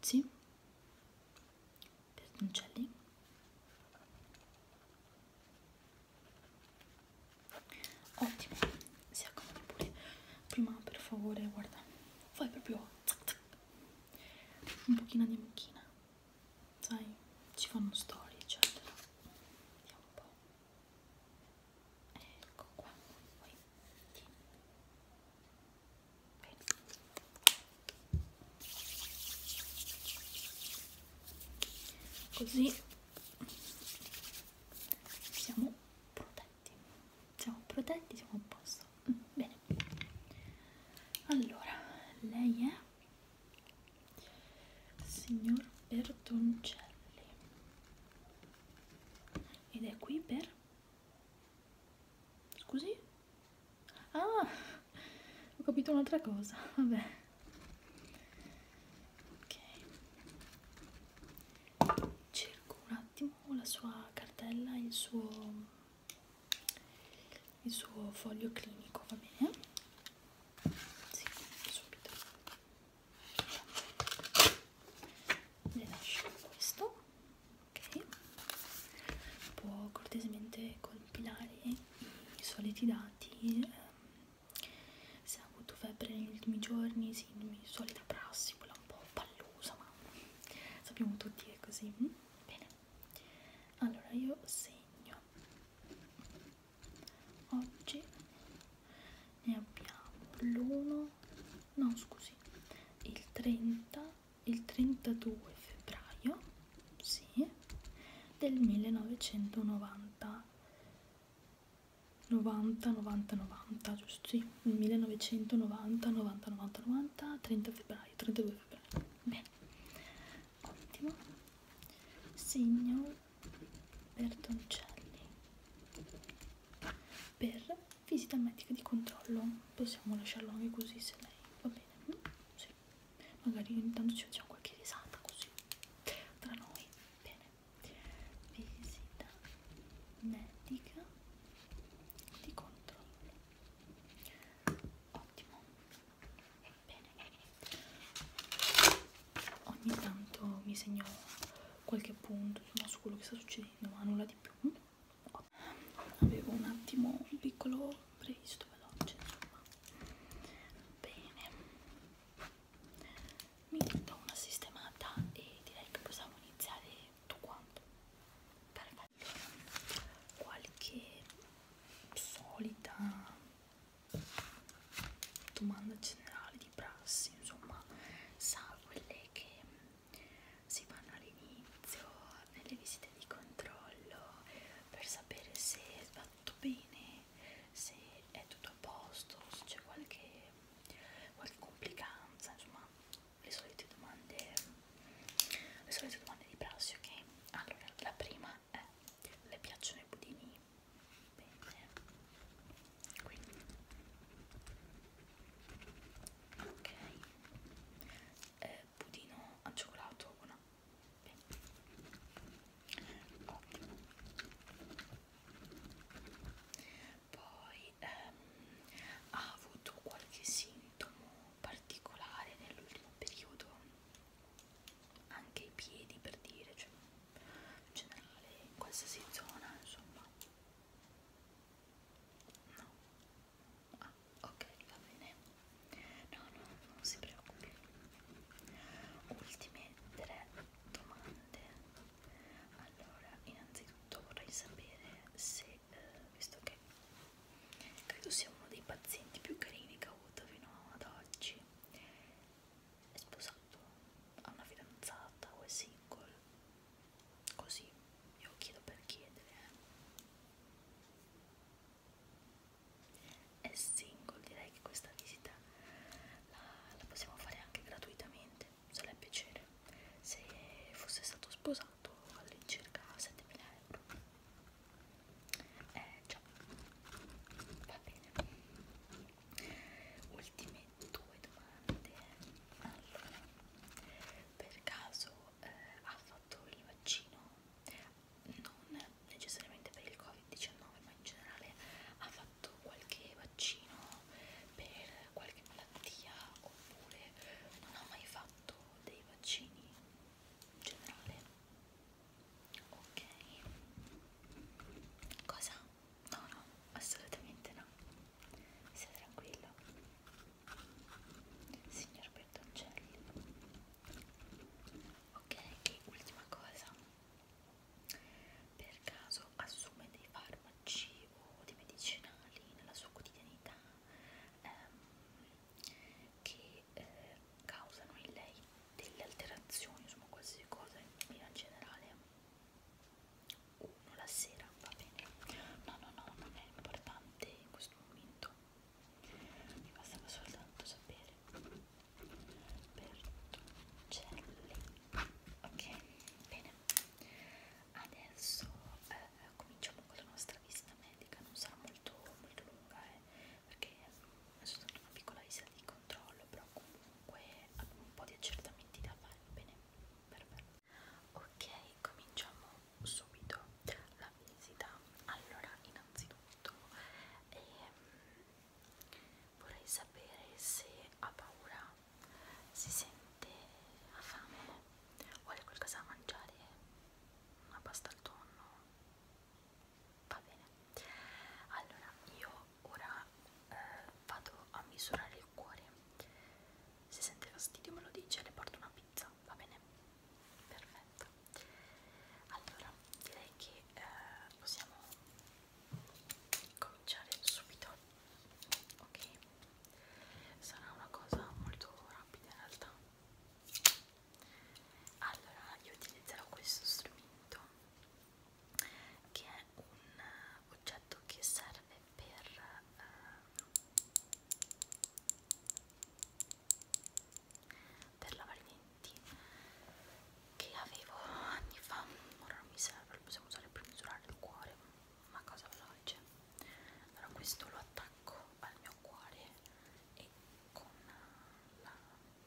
Sì, piattoncelli, ottimo, si accomodi pure. Prima per favore, guarda, fai proprio zac zac un pochino di mucchina sai ci fanno storie eccetera vediamo un po' ecco qua poi Bene. così siamo protetti siamo protetti siamo a posto bene allora lei è signor Bertoncelli ed è qui per scusi ah ho capito un'altra cosa vabbè ok cerco un attimo la sua cartella il suo il suo foglio clinico, va bene? Sì, subito. Le lascio questo, ok? Può cortesemente compilare i soliti dati. Ehm, se ha avuto febbre negli ultimi giorni, sì, solita prassi, quella un po' pallosa, ma sappiamo tutti che è così Bene, allora io segno. Oggi ne abbiamo l'1, no scusi, il 30, il 32 febbraio, sì, del 1990. 90, 90, 90, giusto? Sì. 1990 90 90 90 30 febbraio 32 febbraio bene ottimo segno Bertoncelli per visita medica di controllo possiamo lasciarlo anche così se lei va bene mm, sì. magari intanto ci facciamo qualche risata così tra noi bene visita medica di controllo ottimo bene ogni tanto mi segno qualche punto insomma, su quello che sta succedendo ma nulla di più oh. avevo un attimo un piccolo previsto veloce insomma bene mi do una sistemata e direi che possiamo iniziare tutto quanto perfetto qualche solita domanda generale di prassi insomma sa quelle che si fanno all'inizio nelle visite di controllo per sapere se va tutto bene se è tutto a posto se c'è qualche qualche complicanza insomma le solite domande le solite domande di prassi ok allora la prima è le piacciono i budini bene quindi ok eh, budino al cioccolato o no bene ottimo poi ehm, ha avuto qualche sintomo particolare nell'ultimo periodo anche i piedi per dire cioè in generale in qualsiasi zona insomma no ah ok va bene no no non si preoccupi ultime tre domande allora innanzitutto vorrei sapere se eh, visto che credo sia uno dei pazienti più carini che ho avuto fino ad oggi è sposato, ha una fidanzata o è single così io chiedo per chiedere eh. è single direi che questa visita la, la possiamo fare anche gratuitamente sarebbe piacere se fosse stato sposato all'incirca 7000 euro eh già va bene ultime due domande allora per caso eh, ha fatto il vaccino non necessariamente per il covid-19 ma in generale ha fatto qualche vaccino sono per qualche malattia oppure non ho mai fatto dei vaccini in generale ok cosa? no no assolutamente no sia tranquillo signor Bertoncelli ok e ultima cosa per caso assume dei farmaci o dei medicinali nella sua quotidianità ehm, che eh, causano in lei delle alterazioni, insomma qualsiasi cosa in maniera generale. Uno la sera, va bene. No, no, no, non è importante in questo momento. Mi bastava soltanto sapere per Celli. Ok, bene. Adesso eh, cominciamo con la nostra visita medica, non sarà molto, molto lunga eh, perché è soltanto una piccola visita di controllo, però comunque abbiamo un po' di accertamenti da fare, va bene? Perfetto. Ok, cominciamo subito la visita. Allora, innanzitutto ehm, vorrei sapere se ha paura si sente ha fame, vuole qualcosa da mangiare, una pasta al tonno, va bene. Allora, io ora eh, vado a misurare il cuore, se sente fastidio me lo dice, le porto una pizza, va bene? Perfetto. Allora, direi che eh, possiamo cominciare subito ok sarà una cosa molto rapida in realtà allora io utilizzerò questo strumento che è un eh, oggetto che serve per uh, per lavare i denti che avevo anni fa ora non mi serve lo possiamo usare per misurare il cuore ma cosa veloce allora questo lo attacco al mio cuore e con la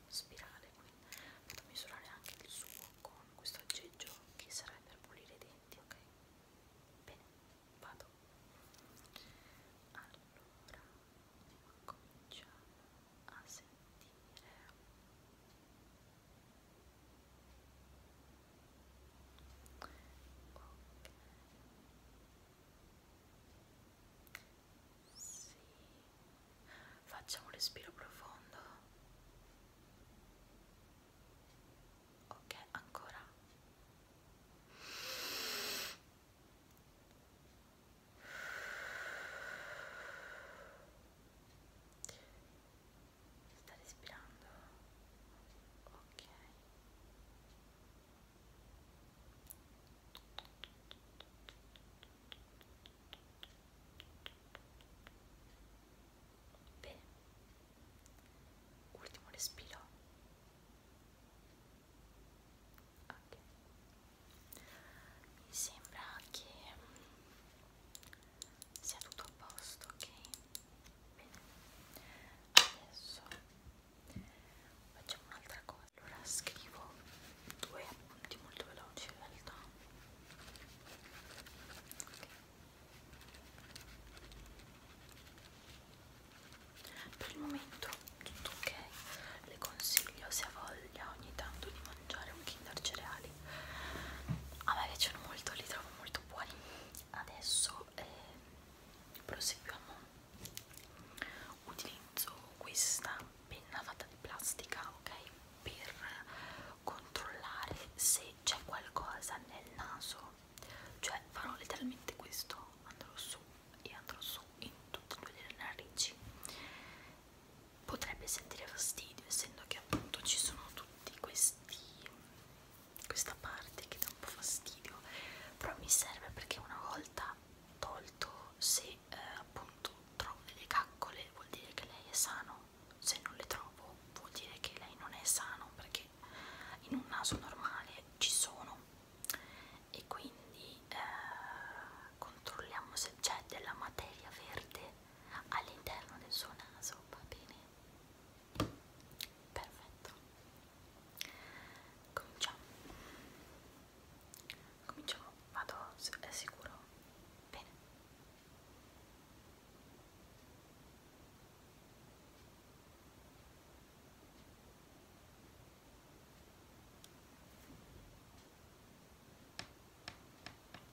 spirale quindi vado a misurare anche il suo con questo aggeggio che sarà per pulire i denti ok bene vado allora cominciamo a sentire Ok. Sì. Facciamo un respiro profondo. Ok, ancora sta respirando ok bene ultimo respiro ok mi sembra che sia tutto a posto, ok? Bene, adesso facciamo un'altra cosa. Allora scrivo due appunti molto veloci in realtà. Okay. Per il momento tutto ok, le consiglio se ha voglia ogni tanto di mangiare un Kinder cereali a me piacciono molto, li trovo molto buoni. Adesso eh, proseguiamo. Utilizzo questa penna fatta di plastica, ok? Per controllare se c'è qualcosa nel naso. Cioè farò letteralmente questo, andrò su e andrò su in tutte e due le narici potrebbe sentire fastidio essendo che appunto ci sono tutti questi questa parte che dà un po' fastidio però mi serve perché una volta tolto se eh, appunto trovo delle caccole vuol dire che lei è sano se non le trovo vuol dire che lei non è sano perché in un naso normale ci sono e quindi eh, controlliamo se c'è della materia verde all'interno del suo naso, va bene? Perfetto. Cominciamo. Cominciamo, vado è sicuro. Bene. Ok,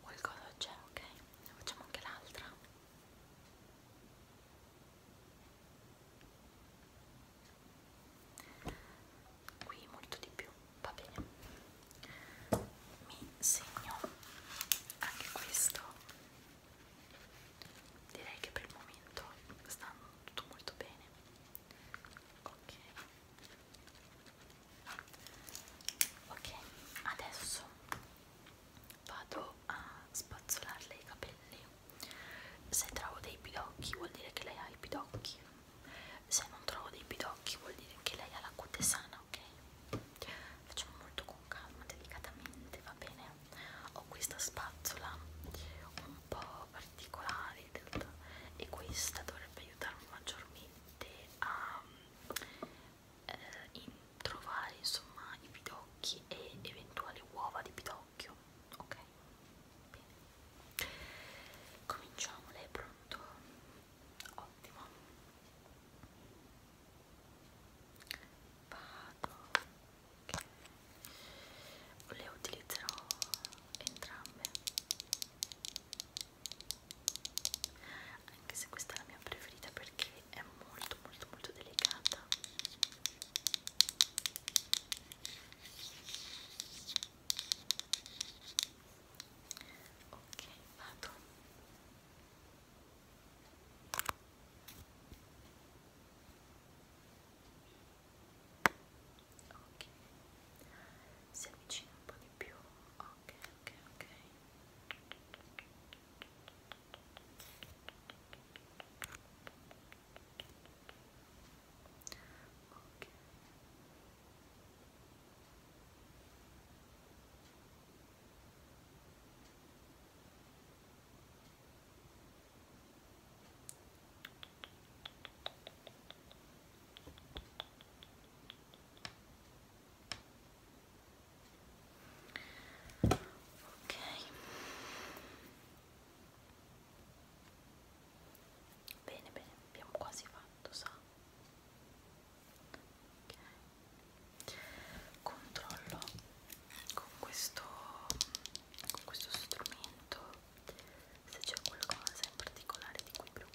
qualcosa c'è ok ne facciamo anche l'altra qui molto di più va bene mi segno anche questo direi che per il momento stanno tutto molto bene ok ok adesso vado a spazzolarle i capelli se trovo dei pidocchi vuol dire che lei ha i pidocchi se non trovo dei pidocchi vuol dire che lei ha la cute sana ok facciamo molto con calma delicatamente va bene ho questa spazzola un po' particolare e questa dovrebbe aiutarmi maggiormente a eh, in trovare insomma i pidocchi e eventuali uova di pidocchio ok bene cominciamo lei è pronto ottimo vado okay. le utilizzerò entrambe anche se questa è la mia preferita perché è molto molto molto delicata ok vado ok si avvicina un po' di più ok ok ok ok ok ok bene bene abbiamo quasi fatto sa ok controllo con questo con questo strumento se c'è qualcosa in particolare di cui preoccuparsi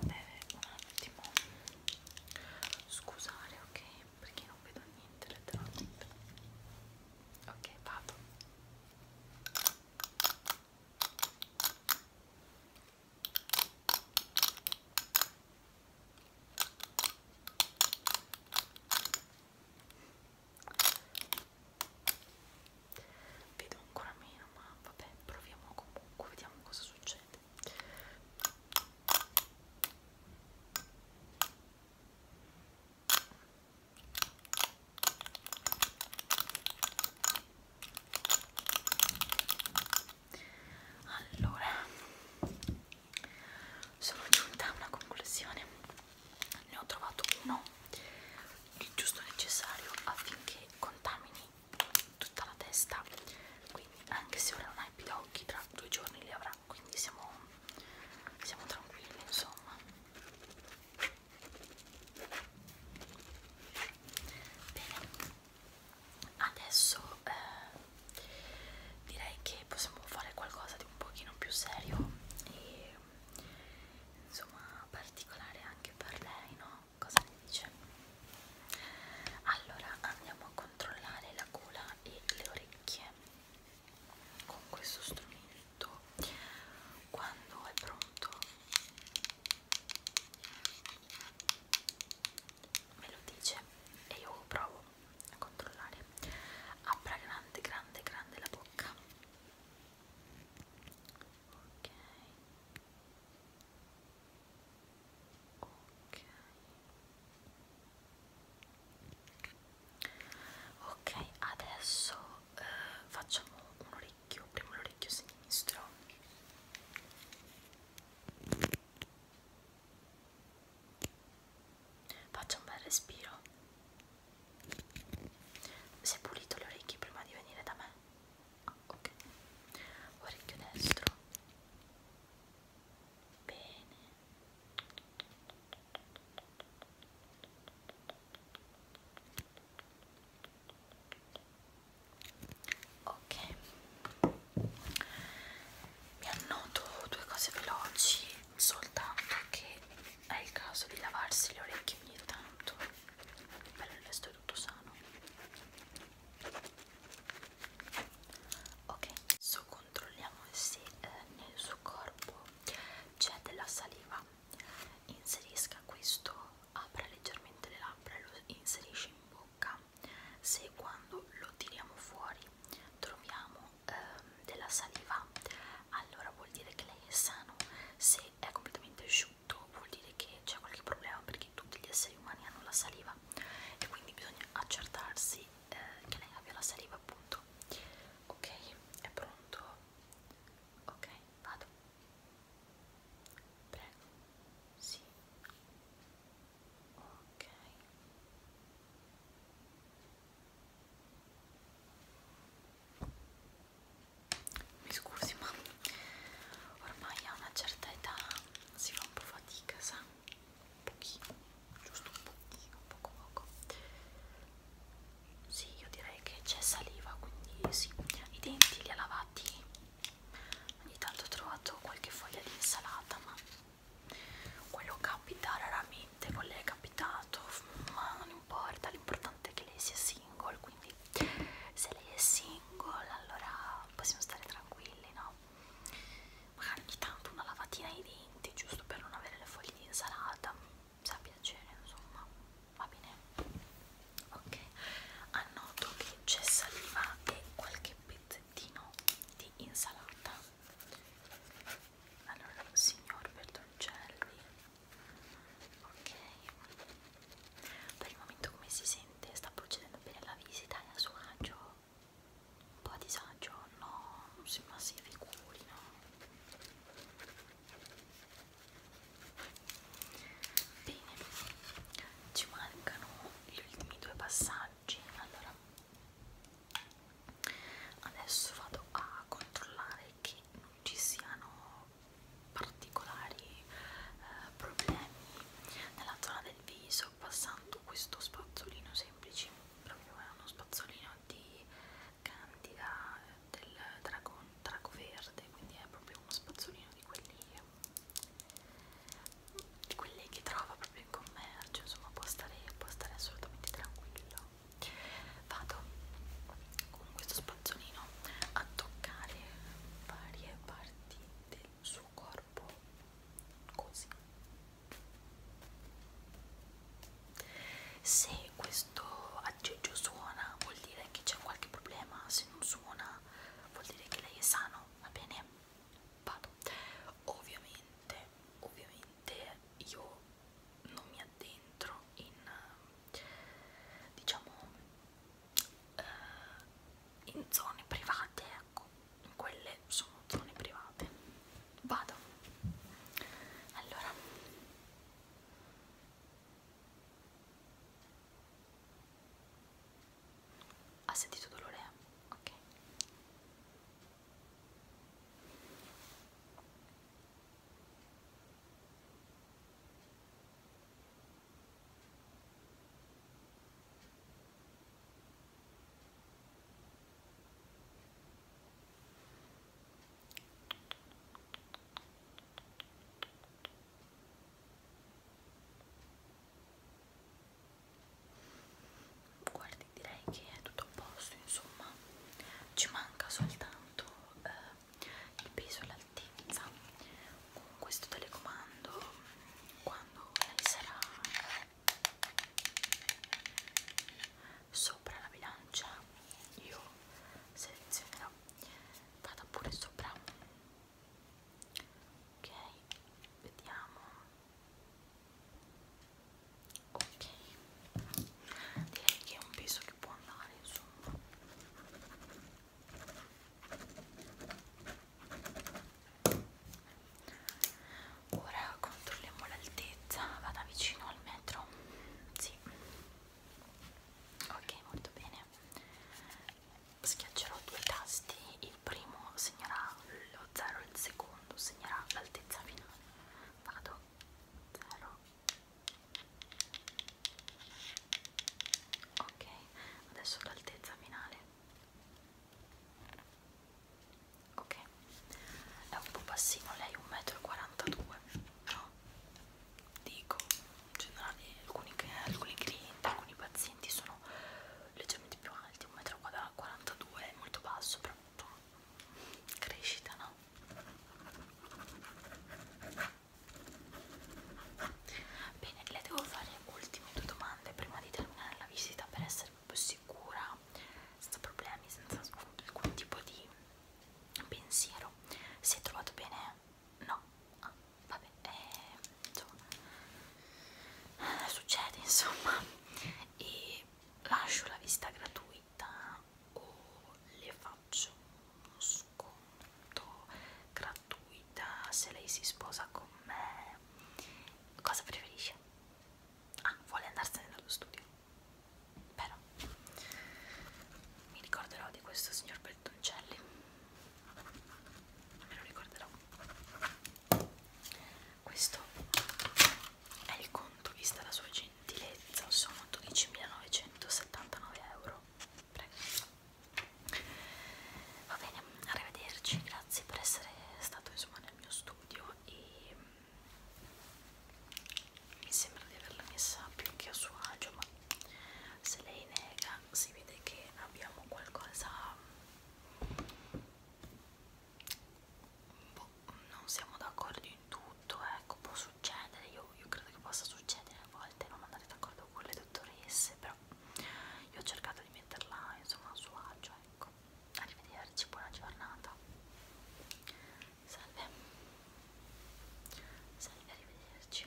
deve un attimo scusare ok perché non vedo niente letteralmente ok vado vedo ancora meno ma vabbè proviamo comunque vediamo cosa succede allora sono giunta a una conclusione ne ho trovato uno il giusto necessario affinché contamini tutta la testa quindi anche se ora non hai più d'occhi tra due giorni li avrà quindi siamo, siamo tranquilli insomma bene adesso eh, direi che possiamo fare qualcosa di un pochino più serio e insomma particolare anche per lei, no? Cosa ne dice? Allora andiamo a controllare la gola e le orecchie con questo strumento quando è pronto me lo dice e io provo a controllare apra grande grande grande la bocca ok ok ok adesso eh, facciamo un orecchio prima l'orecchio sinistro Faccia un bel respiro. Si è pulito le orecchie prima di venire da me? Ah, ok. Orecchio destro. Bene. Ok mi annoto due cose veloci soltanto che è il caso di lavarsi le orecchie ogni tanto per il resto è tutto sano ok adesso controlliamo se eh, nel suo corpo c'è della saliva inserisca questo apra leggermente le labbra e lo inserisce in bocca se quando lo tiriamo fuori troviamo ehm, della saliva allora vuol dire che lei è sano se è completamente asciutto vuol dire che c'è qualche problema perché tutti gli esseri umani hanno la saliva e quindi bisogna accertarsi eh, che lei abbia la saliva appunto ok è pronto ok vado prego sì ok mi scusi ma ormai a una certa età si fa un po' fatica sa un pochino giusto un pochino poco poco sì io direi che c'è saliva quindi sì i denti li ha lavati ogni tanto ho trovato qualche foglia di insalata ma quello capita raramente, non le è capitato, ma non importa, l'importante è che lei sia single, quindi se lei è single allora possiamo stare tranquilli, no? Magari ogni tanto una lavatina ai denti, giusto per non avere le foglie di insalata, sa piacere, insomma, va bene? Ok, annoto che c'è saliva e qualche pezzettino di insalata allora signor Bertoncelli ok per il momento come si sente? sta procedendo bene la visita è a suo agio? un po' a disagio? no, ma si figuri no? bene ci mancano gli ultimi due passaggi oggi allora adesso vado a controllare che non ci siano particolari eh, problemi nella zona del viso passando questo spazzolino semplice proprio è uno spazzolino di candida eh, del dragon, drago verde quindi è proprio uno spazzolino di quelli di quelli che trova proprio in commercio, insomma può stare, può stare assolutamente tranquillo. Vado con questo spazzolino a toccare varie parti del suo corpo, così. Se questo aggeggio suona vuol dire che c'è qualche problema, se non suona vuol dire che lei è sano, va bene? vado ovviamente ovviamente io non mi addentro in diciamo eh, in zone private ecco in quelle sono zone private vado allora ha sentito dolore? Ok guardi direi che è tutto a posto insomma ci manca soltanto eh, il peso e l'altezza con questo telecomando quando lei sarà sopra la bilancia io selezionerò vada pure sopra ok vediamo ok direi che è un peso che può andare insomma ora controlliamo l'altezza vada vicino al metro sì ok molto bene schiaccerò due tasti il il primo segnerà lo 0 il secondo segnerà l'altezza finale vado 0 ok adesso l'altezza finale ok è un po' bassino lei 1,42 m però dico in generale alcuni, alcuni clienti alcuni pazienti sono leggermente molti più alti, 1,42 m è molto basso, però crescita, no? Bene, le devo fare ultime due domande prima di terminare la visita per essere più sicura, senza problemi, senza alcun tipo di pensiero. Si è trovato bene? No. Ah, vabbè, eh, insomma, succede insomma, e lascio la visita gratuita o le faccio uno sconto gratuita se lei si sposa con me, cosa preferisce? Ah, vuole andarsene dallo studio, però mi ricorderò di questo signor Bertoncelli me lo ricorderò questo è il conto vista la sua gentilezza sono 12.979 euro Prego. va bene arrivederci grazie per essere stato insomma nel mio studio e mm, mi sembra di averla messa più che a suo agio ma se lei nega si vede che abbiamo qualcosa mm, boh, non siamo d'accordo in tutto, ecco, può succedere, io, io credo che possa succedere a volte non andare d'accordo con le dottoresse, però io ho cercato di metterla insomma a suo agio, ecco. Arrivederci, buona giornata. Salve. Salve, arrivederci.